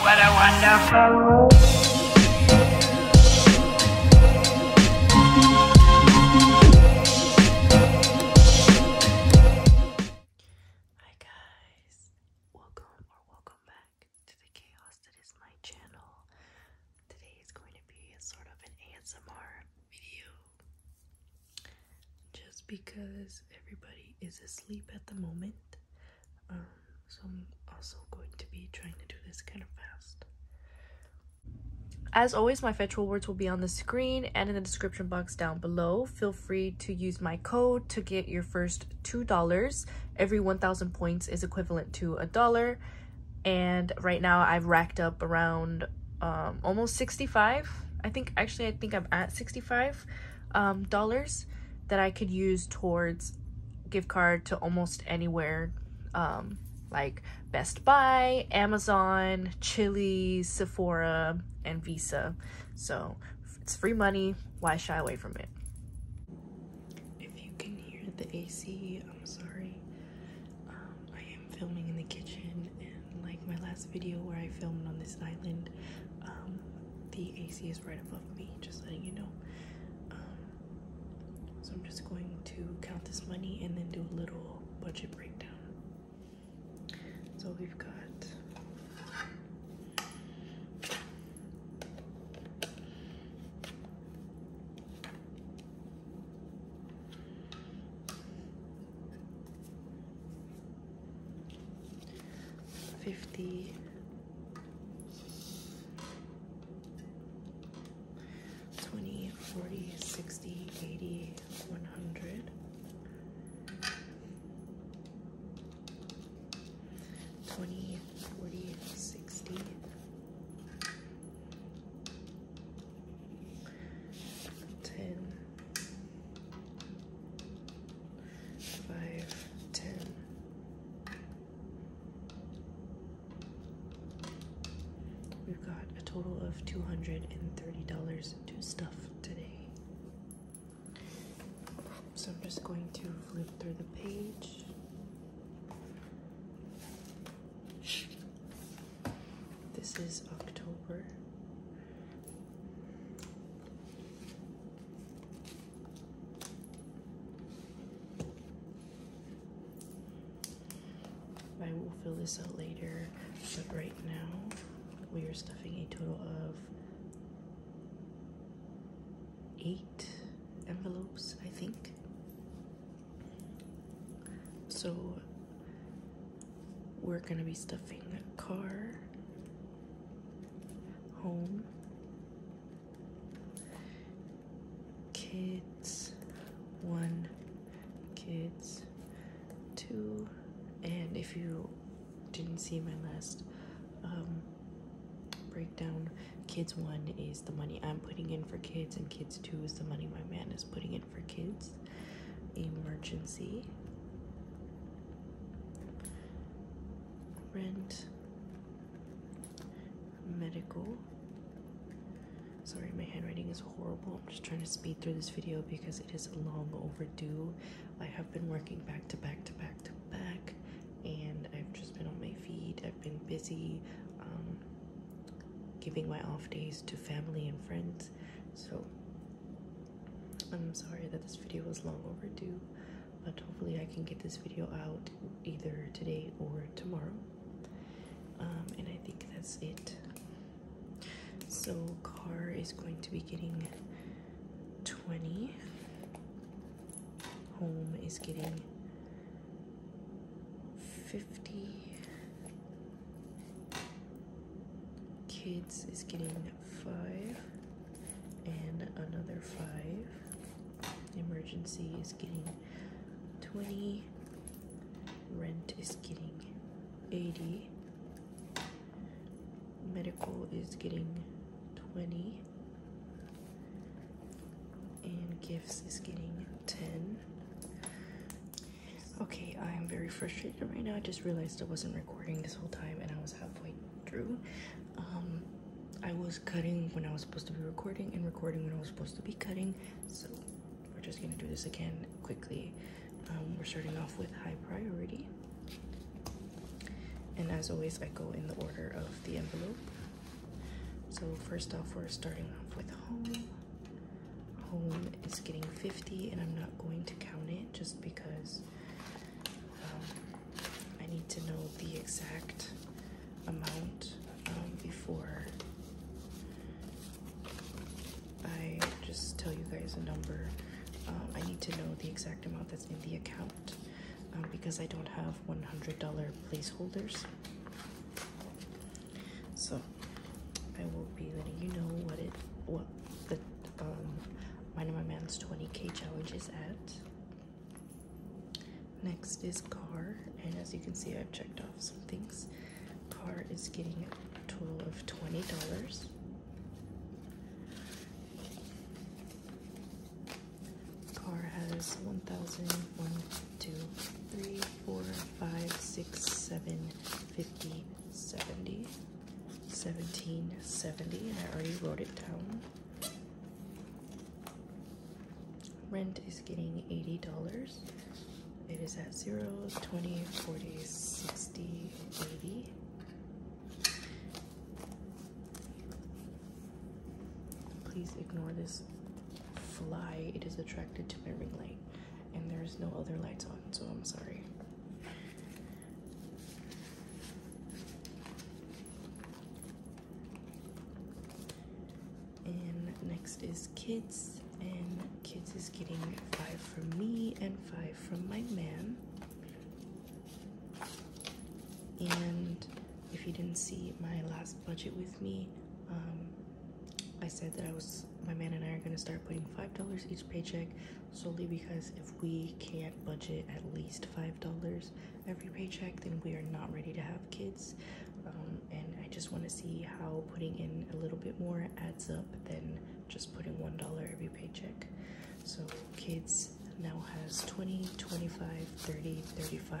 What a wonderful world. Hi guys, welcome or welcome back to the chaos that is my channel. Today is going to be sort of an ASMR video just because everybody is asleep at the moment. Um, so I'm also going to be trying to do this kind of fast. As always, my fetch words will be on the screen and in the description box down below. Feel free to use my code to get your first $2. Every 1,000 points is equivalent to a dollar. And right now I've racked up around um, almost 65. I think, actually, I think I'm at 65. Um, dollars that I could use towards gift card to almost anywhere um, like Best Buy, Amazon, Chili, Sephora, and Visa. So it's free money. Why shy away from it? If you can hear the AC, I'm sorry. Um, I am filming in the kitchen like my last video where I filmed on this island, um, the AC is right above me, just letting you know. Um, so I'm just going to count this money and then do a little budget breakdown. So we've got 50 20 40 60 80 100 20 40 60 10, We've got a total of $230 to stuff today. So I'm just going to flip through the page. This is October. I will fill this out later, but right now we are stuffing a total of eight envelopes, I think. So we're going to be stuffing the car home kids one kids two and if you didn't see my last um, breakdown kids one is the money i'm putting in for kids and kids two is the money my man is putting in for kids, emergency, rent, medical. Sorry, my handwriting is horrible. I'm just trying to speed through this video because it is long overdue. I have been working back to back to back to back, and I've just been on my feet. I've been busy um, giving my off days to family and friends so I'm sorry that this video was long overdue, but hopefully I can get this video out either today or tomorrow. Um, and I think that's it. So car is going to be getting 20. Home is getting 50 Kids is getting five and another five. Emergency is getting 20. Rent is getting 80. Medical is getting 20. And gifts is getting 10. Okay, I'm very frustrated right now. I just realized I wasn't recording this whole time and I was halfway through. Um, I was cutting when I was supposed to be recording and recording when I was supposed to be cutting. So we're just gonna do this again quickly. Um, we're starting off with high priority. And as always, I go in the order of the envelope. So first off, we're starting off with home home is getting 50 and I'm not going to count it just because um, I need to know the exact amount um, before I just tell you guys a number. Um, I need to know the exact amount that's in the account because I don't have $100 placeholders. So I will be letting you know what it what the um my number man's 20k challenge is at. Next is car, and as you can see I've checked off some things. Car is getting a total of twenty dollars. Car has one thousand one Two, three, four, five, six, seven, fifteen, seventy, seventeen, seventy. I already wrote it down. Rent is getting $80. It is at 0, 20, Please ignore this fly. It is attracted to my ring light and there's no other lights on, so I'm sorry. And next is kids, and kids is getting five from me and five from my man. And if you didn't see my last budget with me, um, I said that I was my man and I are gonna start putting five dollars each paycheck solely because if we can't budget at least five dollars every paycheck, then we are not ready to have kids. Um, and I just want to see how putting in a little bit more adds up than just putting one dollar every paycheck. So, kids now has 20, 25, 30, 35.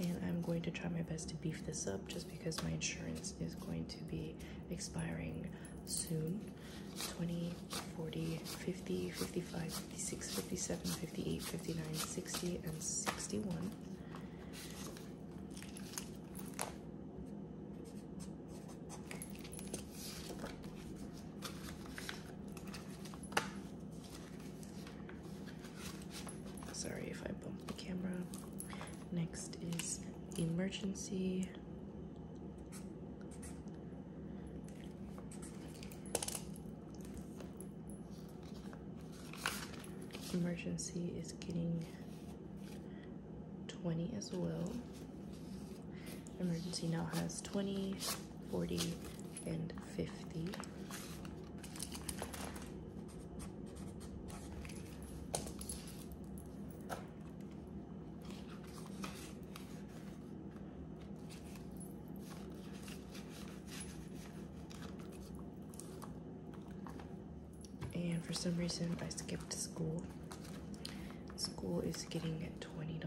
And I'm going to try my best to beef this up just because my insurance is going to be expiring soon. 20, 40, 50, 55, 56, 57, 58, 59, 60, and 61. Sorry if I bumped the camera. Next is emergency. Emergency is getting 20 as well. Emergency now has 20, 40, and fifty. And for some reason, I skipped school. School is getting at $20.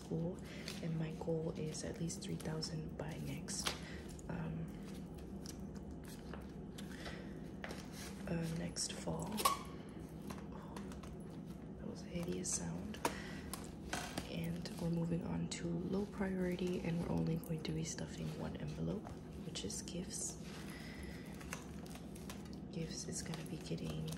and my goal is at least 3,000 by next. Um, uh, next fall. that was a hideous sound. And we're moving on to low priority, and we're only going to be stuffing one envelope, which is gifts. Gifts is gonna be getting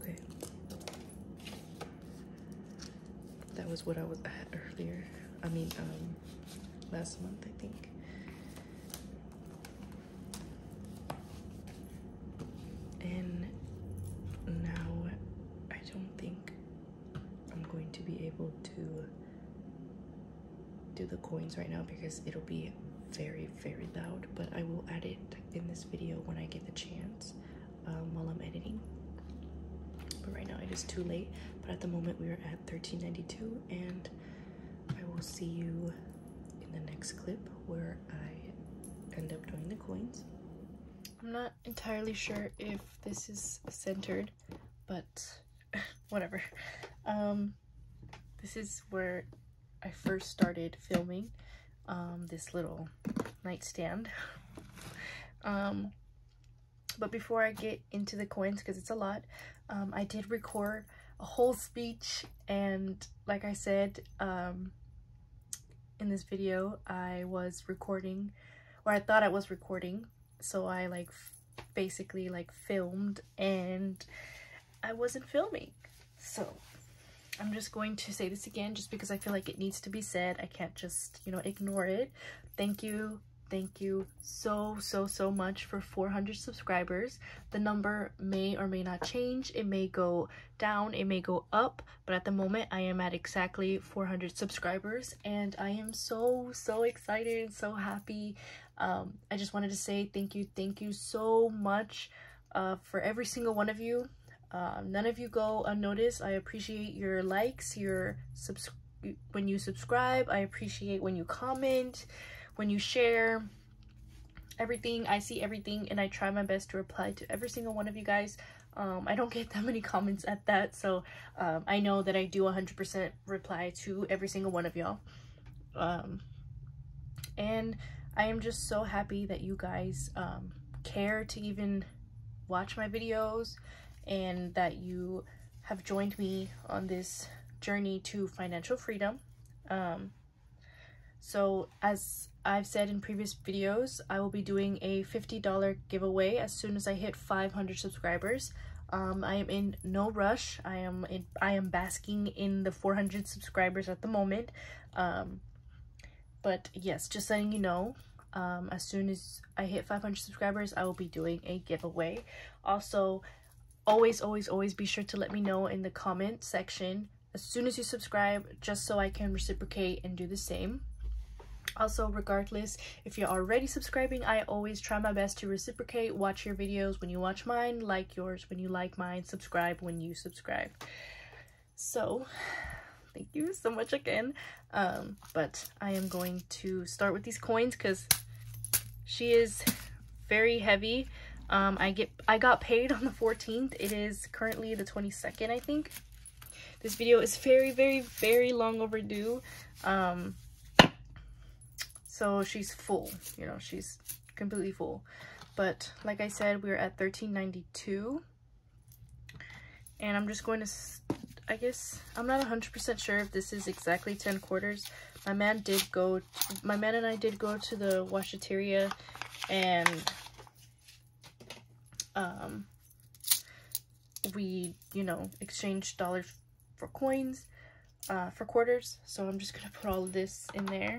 Okay. That was what I was at earlier. I mean, um, last month, I think. And now I don't think I'm going to be able to do the coins right now because it'll be very very loud but I will add it in this video when I get the chance um, while I'm editing but right now it is too late but at the moment we are at 13.92 and I will see you in the next clip where I end up doing the coins I'm not entirely sure if this is centered, but whatever. Um, this is where I first started filming um, this little nightstand. Um, but before I get into the coins, because it's a lot, I did record a whole speech and like I said in this video, I was recording where I thought I was recording. So I like basically like filmed and I wasn't filming. So I'm just going to say this again just because I feel like it needs to be said. I can't just, you know, ignore it. Thank you. Thank you so, so, so much for 400 subscribers. The number may or may not change. It may go down. It may go up but at the moment I am at exactly 400 subscribers and I am so so excited so happy um, I just wanted to say thank you thank you so much uh, for every single one of you uh, none of you go unnoticed I appreciate your likes your subs when you subscribe I appreciate when you comment when you share everything I see everything and I try my best to reply to every single one of you guys um, I don't get that many comments at that, so um, I know that I do a 100% reply to every single one of y'all. Um, and I am just so happy that you guys care to even watch my videos and that you have joined me on this journey to financial freedom. so as I've said in previous videos, I will be doing a $50 giveaway as soon as I hit 500 subscribers. Um, I am in no rush. I am in, I am basking in the 400 subscribers at the moment. Um, but yes, just letting you know, um, as soon as I hit 500 subscribers, I will be doing a giveaway. Also, always, always, always be sure to let me know in the comment section as soon as you subscribe, just so I can reciprocate and do the same. Also, regardless, if you're already subscribing, I always try my best to reciprocate, watch your videos when you watch mine, like yours when you like mine, subscribe when you subscribe. So, thank you so much again. Um, but I am going to start with these coins because she is very heavy. Um, I get I got paid on the 14th. It is currently the 22nd, I think. This video is very, very, very long overdue. Um, so she's full, you know, she's completely full. But like I said, we are at 13.92. And I'm just going to, I guess, I'm not 100% sure if this is exactly 10 quarters. My man did go, my man and I did go to the washateria and um, we, you know, exchange dollars for coins, uh, for quarters. So I'm just going to put all this in there.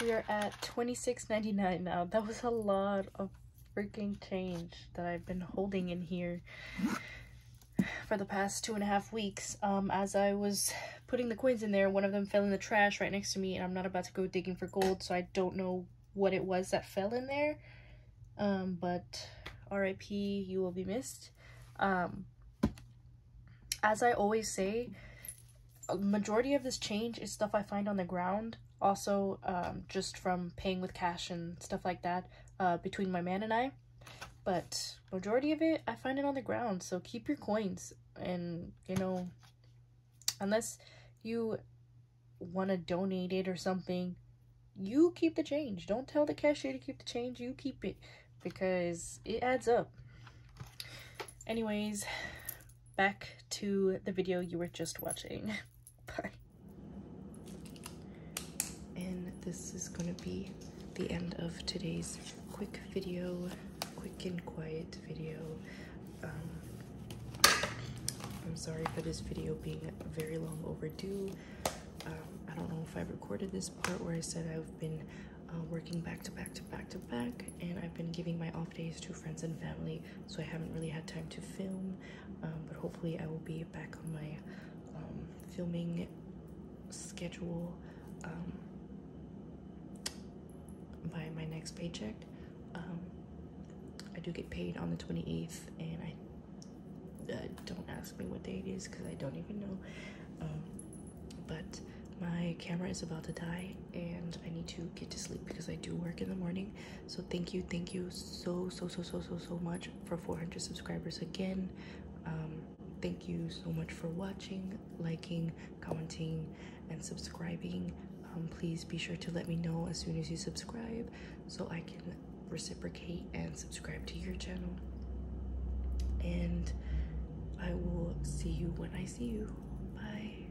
We are at twenty six ninety nine now. That was a lot of freaking change that I've been holding in here for the past two and a half weeks. Um, as I was putting the coins in there, one of them fell in the trash right next to me, and I'm not about to go digging for gold, so I don't know what it was that fell in there um, but RIP, you will be missed. Um, as I always say, majority of this change is stuff I find on the ground. Also, um, just from paying with cash and stuff like that uh, between my man and I. But majority of it, I find it on the ground. So keep your coins. And, you know, unless you want to donate it or something, you keep the change. Don't tell the cashier to keep the change. You keep it because it adds up. Anyways, back to the video you were just watching. Bye. And this is going to be the end of today's quick video, quick and quiet video. Um, I'm sorry for this video being very long overdue. Um, I don't know if I recorded this part where I said I've been uh, working back to back to back to back, and I've been giving my off days to friends and family, so I haven't really had time to film. Um, but hopefully, I will be back on my um, filming schedule by my next paycheck. I do get paid on the 28th, and I uh, don't ask me what day it is because I don't even know. Um, but my camera is about to die and I need to get to sleep because I do work in the morning. So thank you, thank you so, so, so, so, so, so much for 400 subscribers again. Um, thank you so much for watching, liking, commenting, and subscribing. Um, please be sure to let me know as soon as you subscribe so I can reciprocate and subscribe to your channel. And I will see you when I see you. Bye.